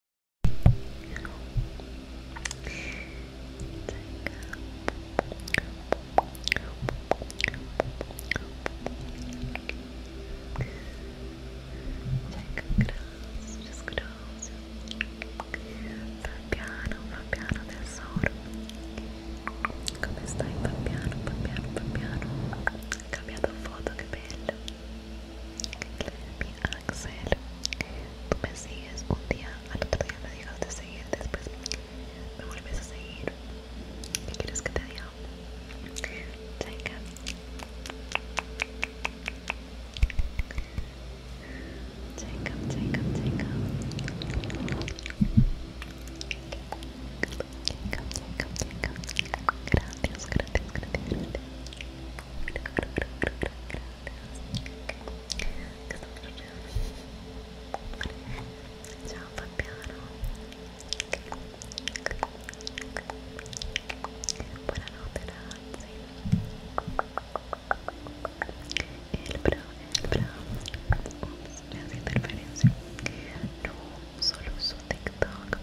grazie, grazie. Fabiano, Fabiano tesoro. Come stai Fabiano, Fabiano, Fabiano? Ho cambiato foto, che bello. Mi Axel Tú me sigues un día, al otro día me de seguir Después me vuelves a seguir ¿Qué quieres que te diga? Jacob, Jacob, Jacob Jacob, Jacob, Jacob gracias, gracias, gracias Ciao El bra, el bra hace interferencia No, solo su TikTok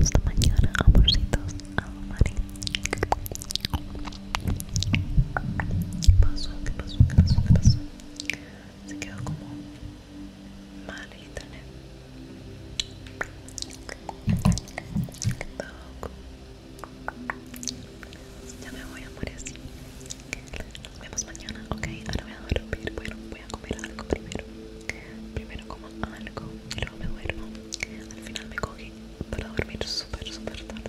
Hasta mañana, amorcitos. amores ¿Qué pasó? ¿Qué pasó? ¿Qué pasó? ¿Qué pasó? Se quedó como mal el internet. Ya me voy a morir Nos vemos mañana, ok. Ahora voy a dormir. Bueno, voy a comer algo primero. Primero como algo y luego me duermo. Al final me cogí para dormir súper, súper tarde.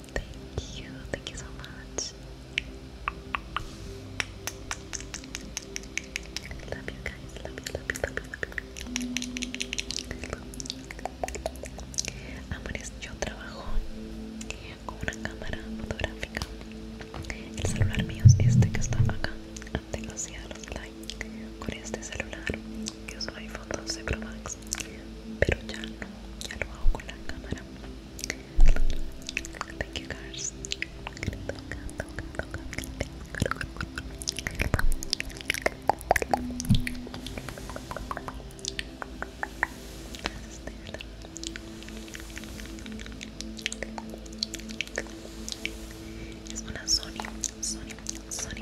Thank you, thank you so much. Love you guys, love you, love you, love you, Amores, yo trabajo con una cámara fotográfica. El celular mío es este que está acá. ante los cielos, like con este celular que uso iPhone 12 Pro Max pero ya no, ya lo hago con la cámara. Thank you guys. es una Sony, Sony, Sony.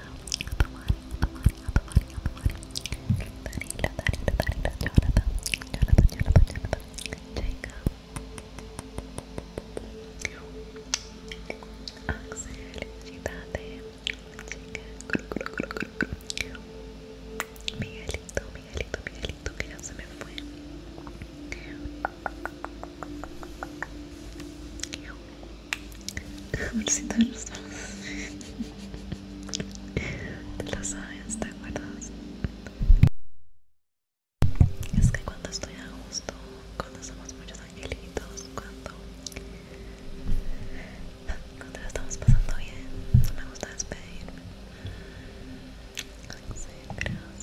a tomar, a tomar, a tomar, a tomar. Danilo, Danilo, Jonathan, Jonathan, Jonathan, Jonathan, Jacob, Axel, Chica, Chica, Miguelito, Miguelito, Miguelito, que ya se me fue. Amorcito de los dos. Te lo sabes, ¿te acuerdas? Es que cuando estoy a gusto, cuando somos muchos angelitos, cuando, cuando lo estamos pasando bien, me gusta despedirme.